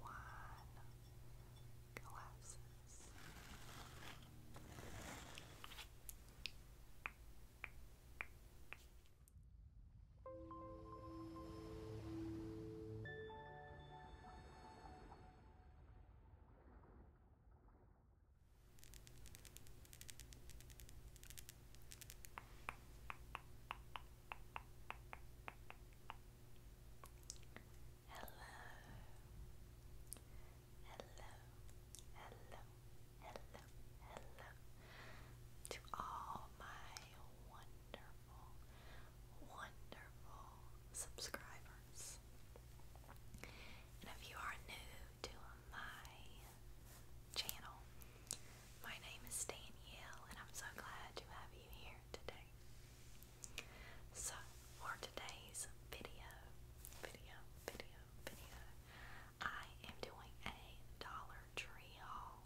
wine glasses. Good. Hello. Hello. Hello. Hello. To all my wonderful, wonderful subscribers. And if you are new to my channel, my name is Danielle, and I'm so glad to have you here today. So, for today's video, video, video, video, I am doing a Dollar Tree haul.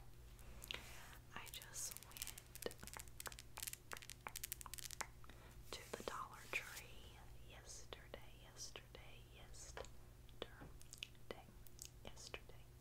I just went to the Dollar Tree yesterday, yesterday, yesterday, yesterday,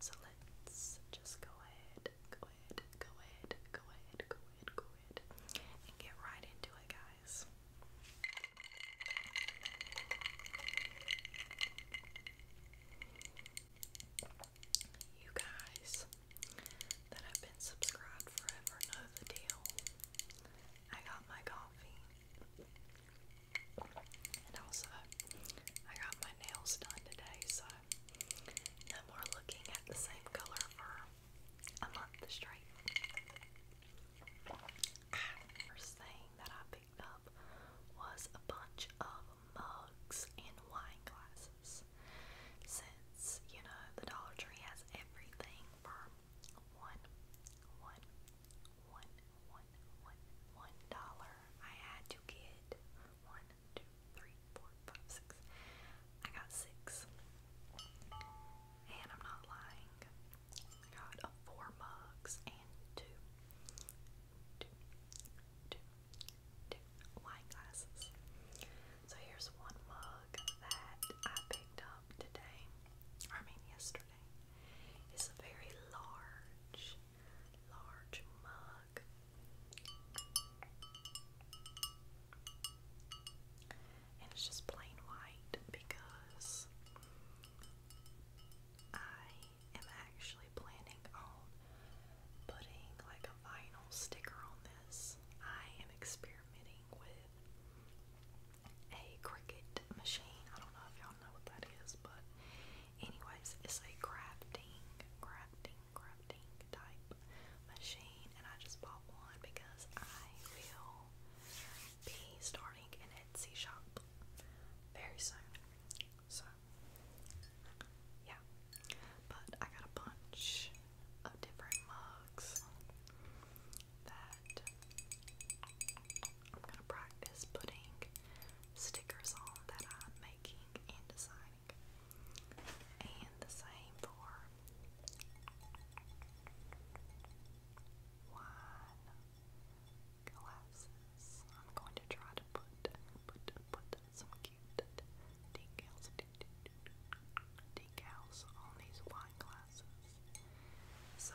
So let's just go ahead, go ahead, go ahead, go ahead, go ahead, go ahead, and get right into it, guys. You guys that have been subscribed forever know the deal. I got my coffee. And also, I got my nails done today, so no more looking at the same color for a month straight. First thing that I picked up was a bunch of mugs and wine glasses. Since, you know, the Dollar Tree has everything for one, one, one one, one, one dollar. I had to get one, two, three, four, five, six. I got six. And I'm not lying. I got four mugs and two, two, two, two wine glasses. So here's one mug that I picked up today. I mean yesterday. It's a very large large mug. And it's just plain white because I am actually planning on putting like a vinyl sticker on this. I am experimenting with a Cricut machine. I don't know if y'all know what that is, but Anyways, it's a crafting, crafting, crafting type machine, and I just bought one because I will be starting an Etsy shop very soon. So, yeah. But I got a bunch of different mugs that I'm gonna practice putting stickers on that I'm making and designing. And the same for wine glasses. I'm going to try to put put put some cute decals decals on these wine glasses. So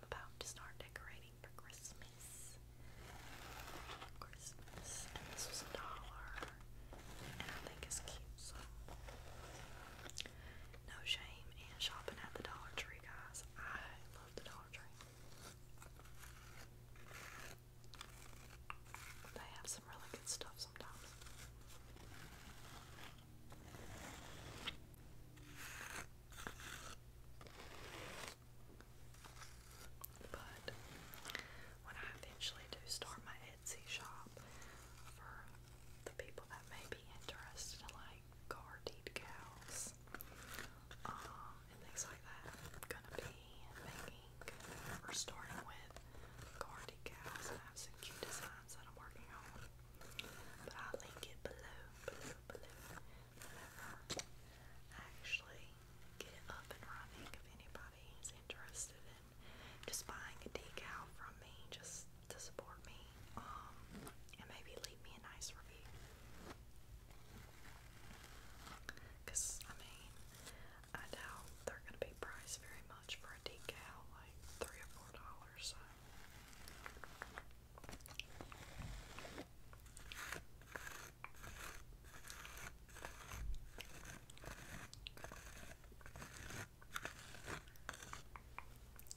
I'm about to start decorating for Christmas. Christmas. And this was a dollar. And I think it's cute, no shame in shopping at the Dollar Tree, guys. I love the Dollar Tree. They have some really good stuff sometimes. But when I eventually do start my Etsy shop for the people that may be interested in like car decals um, and things like that, gonna be making or starting with car decals I have some cute designs that I'm working on. But I'll link it below, below, below. I actually get it up and running, if anybody is interested in just buying a decal from me, just to support me, um, and maybe leave me a nice review. Cause I mean, I doubt they're gonna be priced very much for a decal, like three or four dollars. All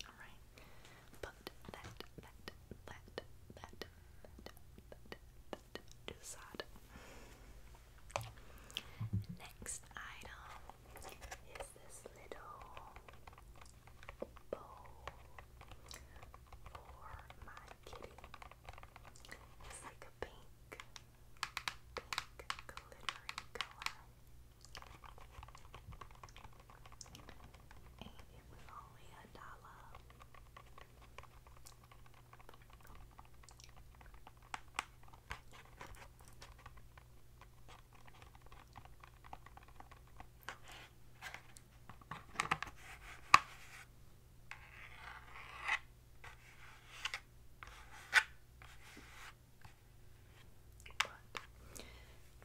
right. Put that, that, that, that, that, that, that to the side. Next item is this little bowl for my kitty. It's like a pink, pink glittering color. And it was only a dollar. But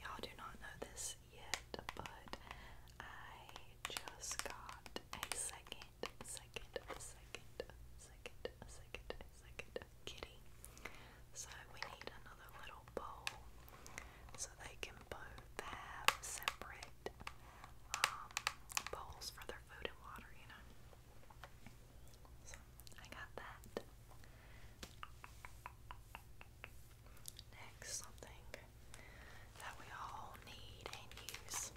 y'all do not know this yet, but I just got a second, second, second, second, second, second kitty. So we need another little bowl so they can both have separate um, bowls for their food and water, you know. I got that. Next, something that we all need and use.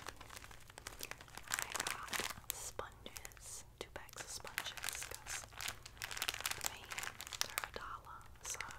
I got sponges, two bags of sponges, for me they're a dollar, so I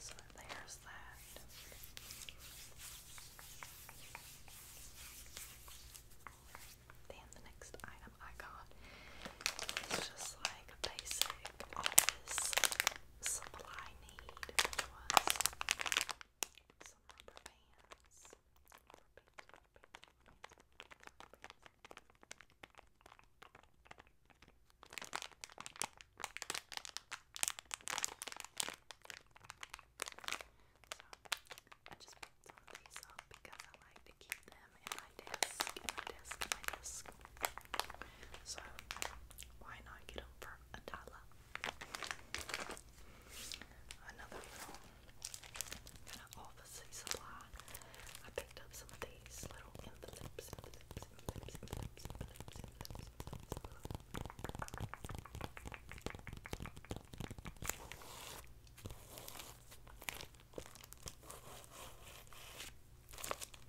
so there's that. Then the next item I got is just like basic office supply need, was some rubber bands. So I just picked some these up because I like to keep them in my desk, in my desk, in my desk. So, why not get them for a dollar? Another little kind of I picked up some of these little envelopes.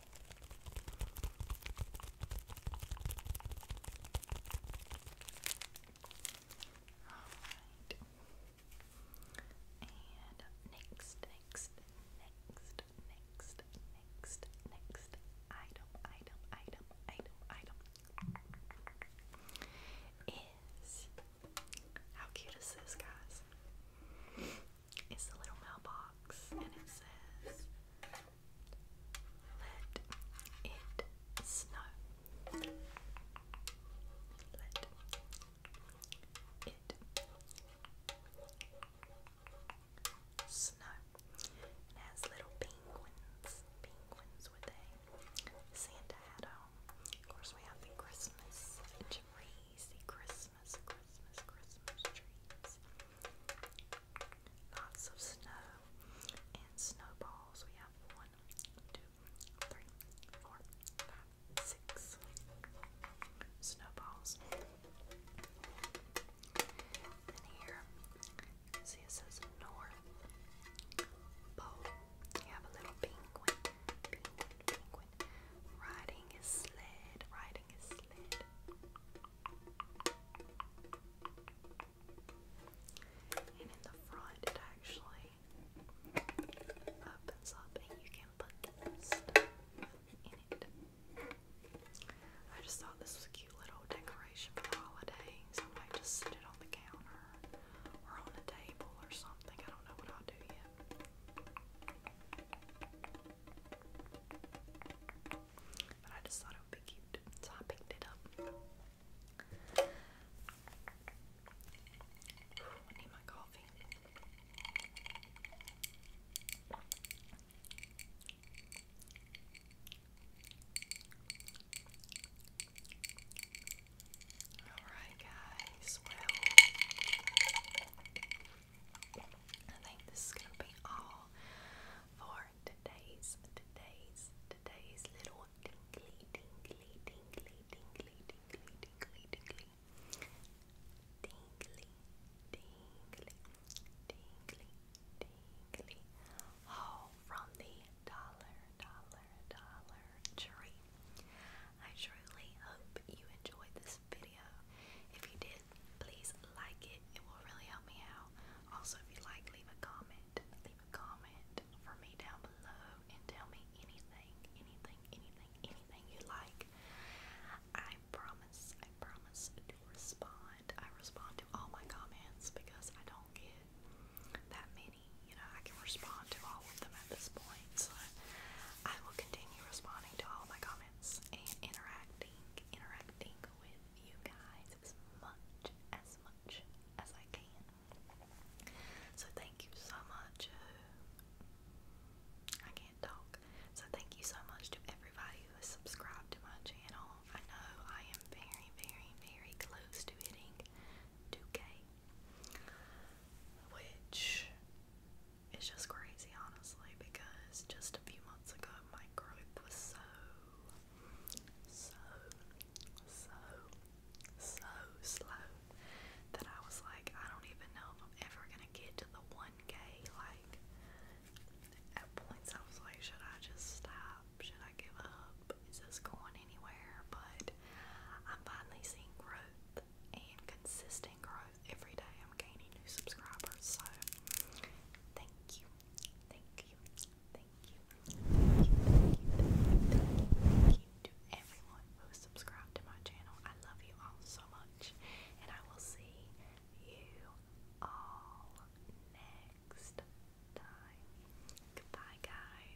Alright. And next, next, next, next, next, next item, item, item, item, item is how cute is this, guys? It's the little mailbox and it says let it snow. Let it snow. It has little penguins. Penguins with a Santa hat on. Of course, we have the Christmas trees, the Christmas, Christmas, Christmas trees. Lots of snow and snowballs. We have one, two, three, four, five, six snowballs. Then here, see it says North Pole. You have a little penguin, penguin, penguin riding his sled, riding his sled. And in the front, it actually opens up and you can put stuff in it. I just thought this was a cute little decoration for the holidays. I might just sit it on the counter or on a table or something. I don't know what I'll do yet. But I just thought it would be cute, so I picked it up. I need my coffee. Alright, guys, well, I think this is going to be all for today's, today's, today's little tingly, tingly, tingly, tingly, tingly, tingly, tingly, tingly, tingly, tingly, tingly, haul from the dollar, dollar, dollar tree. I truly hope you enjoyed this video. If you did, please like it. It will really help me out. Also, if you like, leave a comment. Leave a comment for me down below and tell me anything, anything, anything, anything you like. I promise, I promise to respond. I respond to all my comments because I don't get that many. You know, I can respond to all of them at this point. So I will continue responding to all my comments and interacting, interacting with you guys as much, as much as I can. So thank you so much. I can't talk. So thank you so much to everybody who has subscribed to my channel. I know I am very, very, very close to hitting 2K, which is just crazy, honestly, because just a few months ago, my group was so, so, so, so slow that I was like, I don't even know if I'm ever gonna get to the 1K. Like, at points, I was like, should I just stop? Should I give up? Is this going anywhere? But I'm finally seeing growth and consistent growth every day. I'm gaining new subscribers, so thank you Thank you. Thank you. Thank you. Thank you. Thank you. Thank you. to everyone who subscribed to my channel. I love you all so much. And I will see you all next time. Goodbye, guys.